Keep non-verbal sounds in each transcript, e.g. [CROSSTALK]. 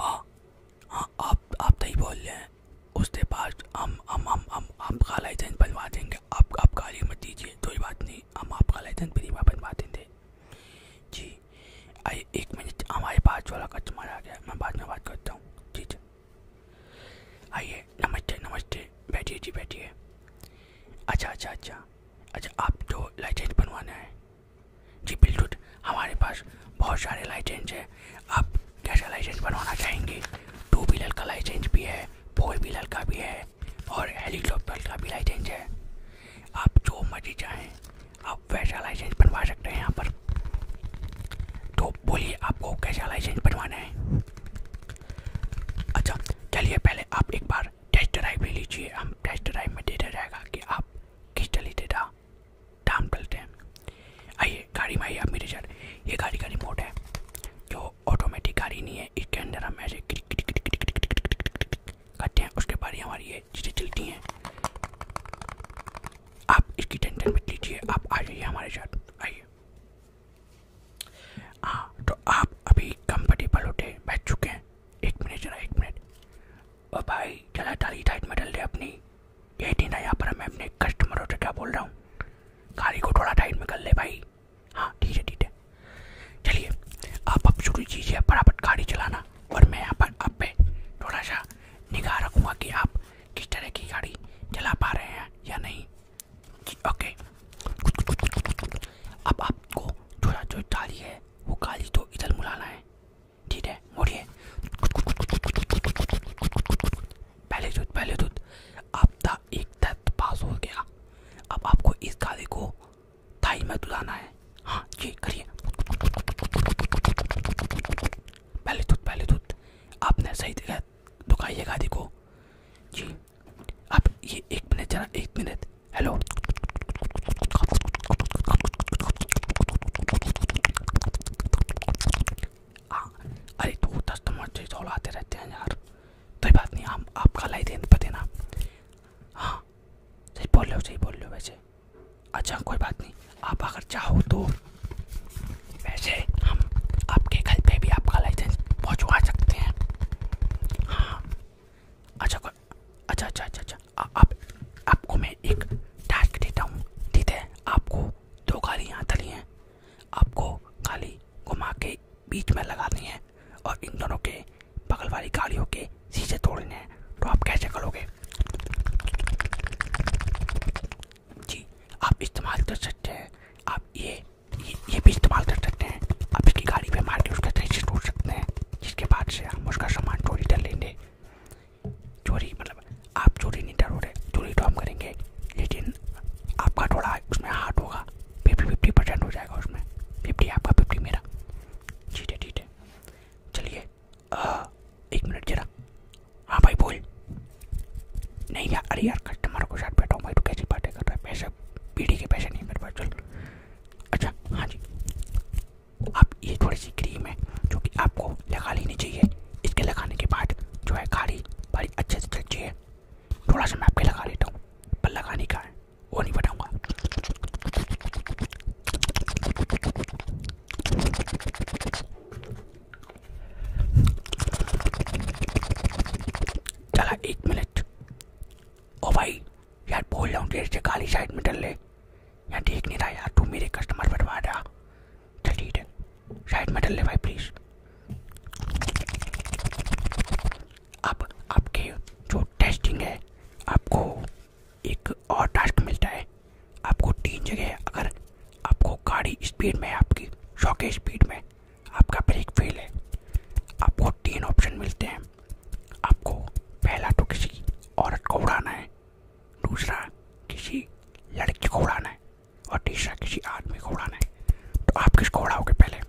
आप आप बोल रहे हैं उसके बाद हम हम हम हम आपका बनवा देंगे आप गाली मत दीजिए कोई बात नहीं हम आपका लाइसेंस बीमा बनवा देंगे जी आइए एक मिनट हमारे पास वाला कस्टमर आ गया मैं बाद में बात करता हूँ जी आइए नमस्ते नमस्ते बैठिए जी बैठिए अच्छा अच्छा अच्छा अच्छा आप तो लाइसेंस बनवाना है जी बिल्कुल हमारे पास बहुत सारे लाइसेंस है आप कैसा लाइसेंस बनवाना चाहेंगे टू व्हीलर का लाइसेंस भी है फोर व्हीलर का भी है और हेलीकॉप्टर का भी लाइसेंस है आप जो मर्जी चाहें आप वैसा लाइसेंस बनवा सकते हैं यहाँ पर तो बोलिए आपको कैसा लाइसेंस बनवाना है अच्छा चलिए पहले आप एक बार टेस्ट ड्राइव ले लीजिए हम टेस्ट ड्राइव में देखा जाएगा कि आप किस चलते था टाम डलते हैं आइए गाड़ी में आइए आप मेरे साथ ये गाड़ी का रिमोट है जो ऑटोमेटिक गाड़ी नहीं है इसके अंदर हम ऐसे करते हैं उसके बाद हमारी ये चीज़ें चलती हैं आप इसकी टेंशन मत लीजिए आप आ जाइए हमारे साथ आइए हाँ तो आप अभी कंफर्टेबल होते बैठ चुके हैं एक मिनट जरा एक मिनट और भाई जरा थाली टाइट में डल दे अपनी ये थी ना यहाँ पर मैं अपने कस्टमर होते क्या बोल रहा हूँ गाड़ी को थोड़ा टाइट में कर ले भाई हाँ ठीक है ठीक है चलिए आप अब शुरू कीजिए बराबर गाड़ी चलाना और मैं यहाँ पर आप पे थोड़ा सा निगाह रखूँगा कि आप किस तरह की गाड़ी चला पा रहे हैं या नहीं ओके अब आपको थोड़ा जो डाली है वो काली तो इधर मुड़ाना है ठीक है मोड़िए पहले दूध पहले दूध आपका एक तत्व पास हो गया अब आपको इस गाड़ी को थाई में दुलाना है हाँ ये करिए पहले दूध पहले दूध आपने सही जगह दुखाइए गाड़ी को जी अब ये एक मिनट जरा एक मिनट हेलो हाँ, अरे तो कस्टमर चीज औलाते रहते हैं यार कोई बात नहीं हम आपका लाई देन पर देना हाँ सही बोल रहे हो सही बोल रहे हो वैसे अच्छा कोई बात नहीं आप अगर चाहो तो वैसे हम आपके घर पे भी आपका लाइसेंस पहुंचवा सकते हैं हाँ [GASPS] अच्छा अच्छा अच्छा अच्छा अच्छा आ, आप आपको मैं एक टास्क देता हूँ ठीक है आपको दो गाड़ियाँ तली हैं आपको खाली घुमा के बीच में लगानी है और इन दोनों के बगल वाली गाड़ियों के शीशे तोड़ने हैं तो आप कैसे करोगे जी आप इस्तेमाल कर सकते हैं आप ये ये ये भी तो इस्तेमाल कर सकते हैं अब इसकी गाड़ी पे मार के उसका तरीके टूट सकते हैं जिसके बाद से हम उसका सामान चोरी कर लेंगे चोरी मतलब आप चोरी नहीं डर रहे चोरी तो हम करेंगे लेकिन आपका थोड़ा उसमें हार्ड होगा फिफ्टी फिफ्टी परसेंट हो जाएगा उसमें फिफ्टी आपका फिफ्टी मेरा ठीक है ठीक है चलिए एक मिनट जरा हाँ भाई बोल नहीं यार अरे यार कस्टमर को साथ बैठा हूँ तो कैसी बातें कर रहा है पैसे पीढ़ी के पैसे नहीं मेरे पास चल अच्छा हाँ जी आप ये थोड़ी सी क्रीम है जो कि आपको लगा लेनी चाहिए इसके लगाने के बाद जो है गाड़ी बड़ी अच्छे से चलती है थोड़ा सा मैं आपके लगा लेता हूँ पर लगाने का है वो नहीं बताऊँगा चला एक मिनट ओ भाई यार बोल रहा हूँ देर से काली साइड में डल ले यार देख नहीं रहा यार तू मेरे कस्टमर बटवा रहा चल साइड में डल ले भाई प्लीज़ अब आपके जो टेस्टिंग है आपको एक और टास्क मिलता है आपको तीन जगह अगर आपको गाड़ी स्पीड में आपकी सौ स्पीड में आपका ब्रेक फेल है आपको तीन ऑप्शन मिलते हैं आपको पहला तो किसी औरत को उड़ाना है दूसरा किसी लड़की को उड़ाना है और तीसरा किसी आदमी को उड़ाना है तो आप किसको उड़ाओगे पहले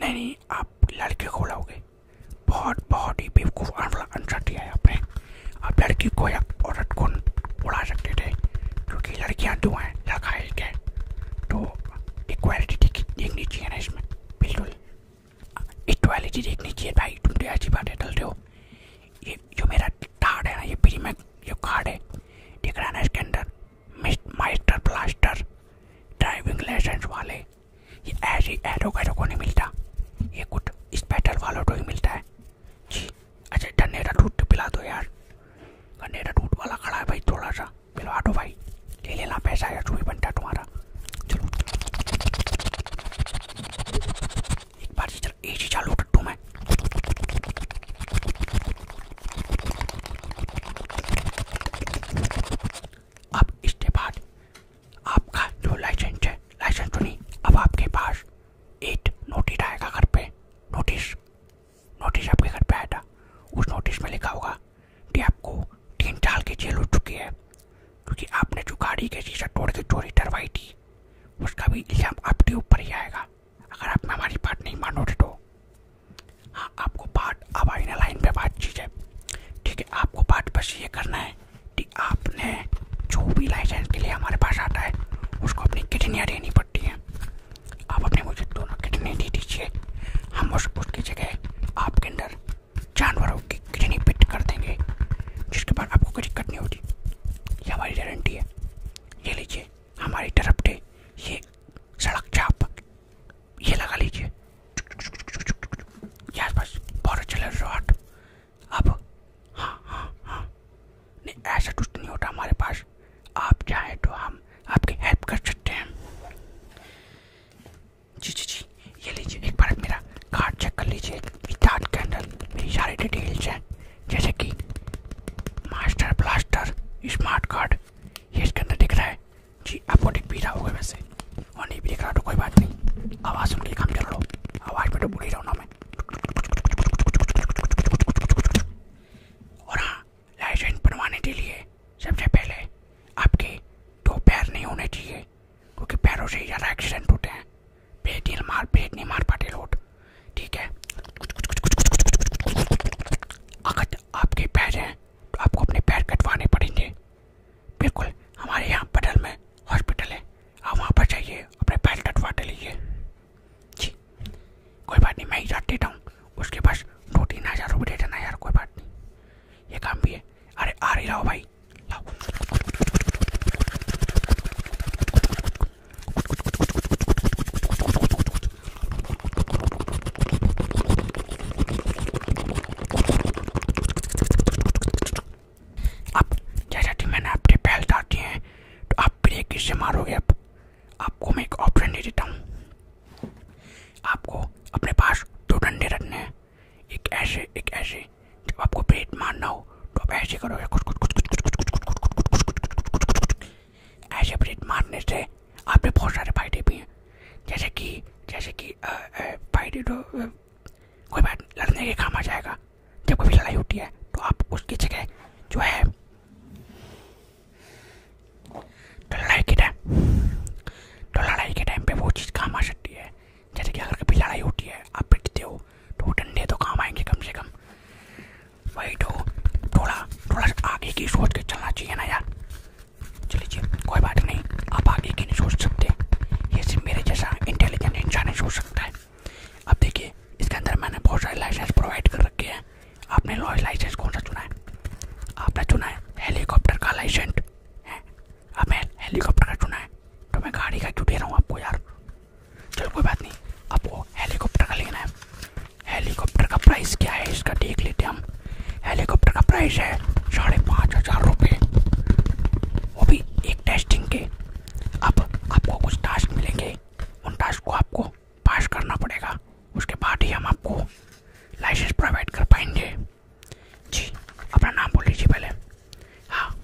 नहीं नहीं आप लड़के को उड़ाओगे बहुत बहुत ही बेवकूफ़ आंसर दिया है आपने अब लड़की को या औरत को उड़ा सकते थे क्योंकि लड़कियां दो तो हैं लड़का तो एक है तो इक्वालिटी देखनी चाहिए ना इसमें बिल्कुल इक्वालिटी देखनी चाहिए भाई तुम तो ऐसी बातें चलते हो ये जो मेरा कार्ड है ना ये फ्री जो कार्ड है दिख रहा है ना इसके अंदर माइस्टर प्लास्टर ड्राइविंग लाइसेंस वाले ये ऐसे एरो कैरो को नहीं मिलता ये कुछ स्पेशल वालों को ही मिलता है है अच्छा डनेरा टूट पिला दो यार गनेरा टूट वाला खड़ा है भाई थोड़ा सा पिलवा दो भाई ले लेना पैसा यार चूही बनता है तुम्हारा चलो एक बार इधर ए चालू कर दूँ मैं अब इसके बाद आपका जो लाइसेंस है लाइसेंस तो नहीं अब आपके पास एक नोटिस आएगा घर पे नोटिस नोटिस आपके घर पे आया था उस नोटिस में लिखा होगा कि आपको तीन साल की जेल हो चुकी है क्योंकि आपने जो गाड़ी के शीशा तोड़ के चोरी डरवाई थी उसका भी इल्ज़ाम आपके ऊपर ही आएगा अगर आप हमारी बात नहीं मानोगे तो हाँ आपको बात अब आईना पे बात चीज़ है ठीक है आपको बात बस ये करना है है कि आपने जो भी लाइसेंस के लिए हमारे पास आता है उसको अपनी किडनियाँ देनी पड़ती हैं आप अपने मुझे दोनों किडनी दे दीजिए हम उस उसकी जगह आपके अंदर जानवरों की किडनी फिट कर देंगे जिसके बाद आपको कोई दिक्कत नहीं होती ये हमारी गारंटी है ये लीजिए हमारी तरफ से ये सड़क चाप ये लगा लीजिए बस बहुत अच्छा लग रहा अब हाँ हाँ हाँ नहीं ऐसा कुछ तो नहीं होता हमारे पास आप चाहें तो हम आपकी हेल्प कर सकते हैं जी जी जी ये लीजिए एक बार मेरा कार्ड चेक कर लीजिए कार्ड के मेरी सारी डिटेल्स हैं जैसे कि मास्टर ब्लास्टर स्मार्ट कार्ड ये इसके अंदर दिख रहा है जी आपको दिख भी रहा होगा वैसे और नहीं भी दिख रहा तो कोई बात नहीं आवाज़ सुन के काम चल लो आवाज़ पे तो बुरी रहा ना मैं और हाँ लाइसेंस बनवाने के लिए सबसे पहले आपके दो पैर नहीं होने चाहिए क्योंकि पैरों से ज़्यादा एक्सीडेंट होते हैं पेट नहीं मार पेट नहीं मार पाते लोग ठीक है अगर आपके पैर हैं तो आपको अपने पैर कटवाने पड़ेंगे बिल्कुल हमारे यहाँ बदल में हॉस्पिटल है आप वहाँ पर जाइए अपने पैर कटवाटे लीजिए जी कोई बात नहीं मैं ही जाट देता हूँ उसके पास दो तीन हज़ार रुपये दे देना यार कोई बात नहीं ये काम भी है अरे आ रही लाओ भाई लाओ अब जैसा कि मैंने आपके पहल डाटी है तो आप ब्रेक किससे मारोगे अब आपको मैं एक ऑप्शन दे देता हूँ आपको अपने पास दो डंडे रखने हैं एक ऐसे एक ऐसे जब आपको ब्रेक मारना हो तो आप ऐसे करोगे कुछ कुछ कुछ कुछ कुछ कुछ कुछ कुछ कुछ कुछ कुछ कुछ कुछ ऐसे ब्रेक मारने से आपने बहुत सारे फायदे भी हैं जैसे कि जैसे कि फाइट कोई बात लड़ने के काम आ जाएगा जब कभी लड़ाई होती है तो आप उसकी जगह जो है तो लड़ाई के टाइम तो लड़ाई के टाइम पे वो चीज़ काम आ सकती है जैसे कि अगर कभी लड़ाई होती है आप पिटते हो तो डंडे तो काम आएंगे कम से कम वही तो थोड़ा थोड़ा आगे की सोच के चलना चाहिए ना यार चल लीजिए कोई बात नहीं आप आगे की नहीं सोच सकते ये सिर्फ मेरे जैसा इंटेलिजेंट इंसान ही सोच सकता है अब देखिए इसके अंदर मैंने बहुत सारे लाइसेंस प्रोवाइड कर रखे हैं आपने लाइसेंस कौन सा चुना है आपने चुना है हेलीकॉप्टर का लाइसेंस है आपने हेलीकॉप्टर का चुना है तो मैं गाड़ी का क्यों दे रहा हूँ आपको यार चलो कोई बात नहीं आपको हेलीकॉप्टर का लेना है हेलीकॉप्टर का प्राइस क्या है इसका देख लेते हैं हम हेलीकॉप्टर का प्राइस है साढ़े पाँच हजार रुपये वो भी एक टेस्टिंग के अब आपको कुछ टास्क मिलेंगे उन टास्क को आपको पास करना पड़ेगा उसके बाद ही हम आपको लाइसेंस प्रोवाइड कर पाएंगे जी अपना नाम बोल लीजिए पहले हाँ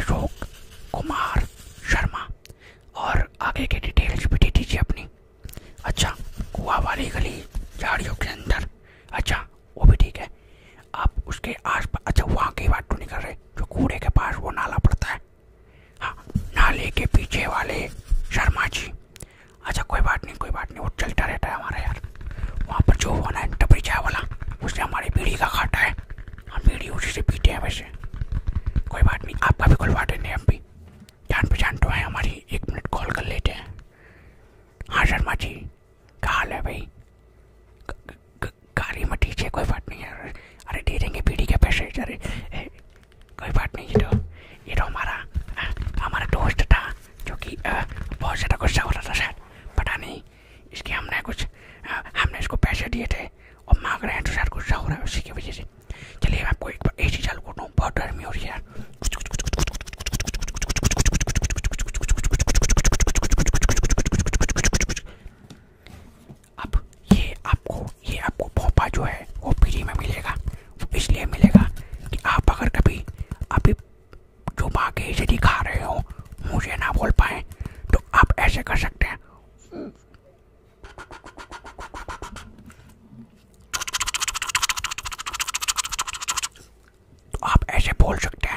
अशोक कुमार शर्मा और आगे के डिटेल्स भी दे दीजिए अपनी अच्छा कुआ वाली गली झाड़ियों के अंदर अच्छा वो भी ठीक है आप उसके आस पास अच्छा वहाँ की बात तो नहीं कर रहे जो कूड़े के पास वो नाला पड़ता है हाँ नाले के पीछे वाले शर्मा जी अच्छा कोई बात नहीं कोई बात नहीं वो चलता रहता है हमारे यार वहाँ पर जो होना है टपरी चाय वाला उसने हमारी बीड़ी का खाटा है हम बीड़ी उसी से पीते हैं वैसे कोई बात नहीं आपका भी खुलवा देंगे हम भी जान पहचान तो है हमारी एक मिनट कॉल कर लेते हैं हाँ शर्मा जी क्या हाल है भाई गाड़ी में ठीक कोई बात नहीं है अरे दे देंगे पीढ़ी के पैसे अरे कोई बात नहीं ये तो ये तो हमारा हमारा दोस्त था जो कि बहुत ज़्यादा गुस्सा हो रहा था शायद पता नहीं इसके हमने कुछ हमने इसको पैसे दिए थे और मांग रहे हैं तो शायद गुस्सा हो रहा है उसी की वजह से चलिए आपको एक बार ए सी चालू कर रहा हूँ बहुत गर्मी हो रही है है अब ये आपको ये आपको भोपा जो है वो फ्री में मिलेगा इसलिए मिलेगा कि आप अगर कभी अभी जो बाकी यदि खा रहे हो मुझे ना बोल पाए तो आप ऐसे कर सकते हैं तो आप ऐसे बोल सकते हैं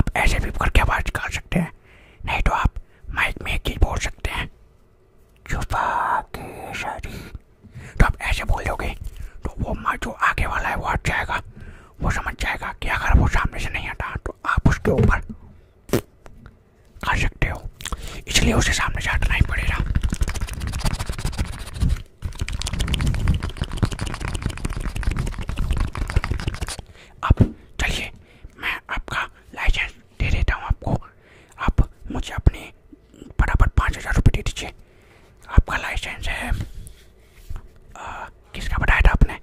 आप ऐसे भी करके आवाज कर सकते हैं नहीं तो आप माइक में एक चीज बोल सकते हैं छुपा के शरी तो आप ऐसे बोल दोगे तो वो माँ जो आगे वाला है वो हट जाएगा वो समझ जाएगा कि अगर वो सामने से नहीं हटा तो आप उसके ऊपर खा सकते हो इसलिए उसे सामने चाटना ही पड़ेगा अब चलिए मैं आपका लाइसेंस दे देता हूँ आपको आप मुझे अपने बराबर पाँच हज़ार रुपये दे दीजिए आपका लाइसेंस है किसका बताया था आपने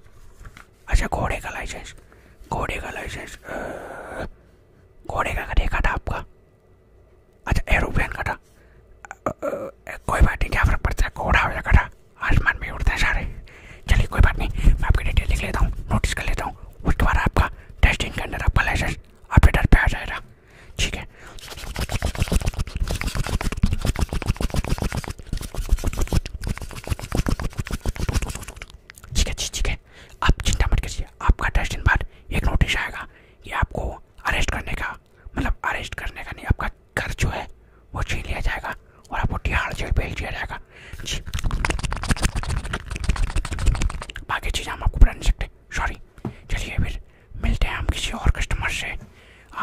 अच्छा घोड़े का लाइसेंस घोड़े का लाइसेंस घोड़े का कटिया काटा आपका अच्छा एरोप्लेन काटा कोई बात नहीं क्या फर्क पड़ता है घोड़ा हो या काटा आसमान में उड़ते हैं सारे चलिए कोई बात नहीं मैं आपकी डिटेल लिख लेता हूँ नोटिस कर लेता हूँ उस बाद आपका टेस्टिंग के अंदर आपका लाइसेंस आपके डर पे आ जाएगा ठीक है ठीक है जी ठीक है आप चिंता मत करिए आपका दस दिन बाद एक नोटिस आएगा कि आपको अरेस्ट करने का मतलब अरेस्ट करने का नहीं आपका घर जो है वो छीन लिया जाएगा और आपको तिहाड़ जेल भेज दिया जाएगा जी बाकी चीज़ें हम आपको बता नहीं सकते सॉरी चलिए फिर मिलते हैं हम किसी और कस्टमर से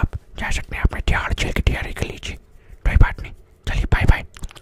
आप जा सकते हैं अपने तिहाड़ जेल की तैयारी कर लीजिए कोई बात नहीं चलिए बाय बाय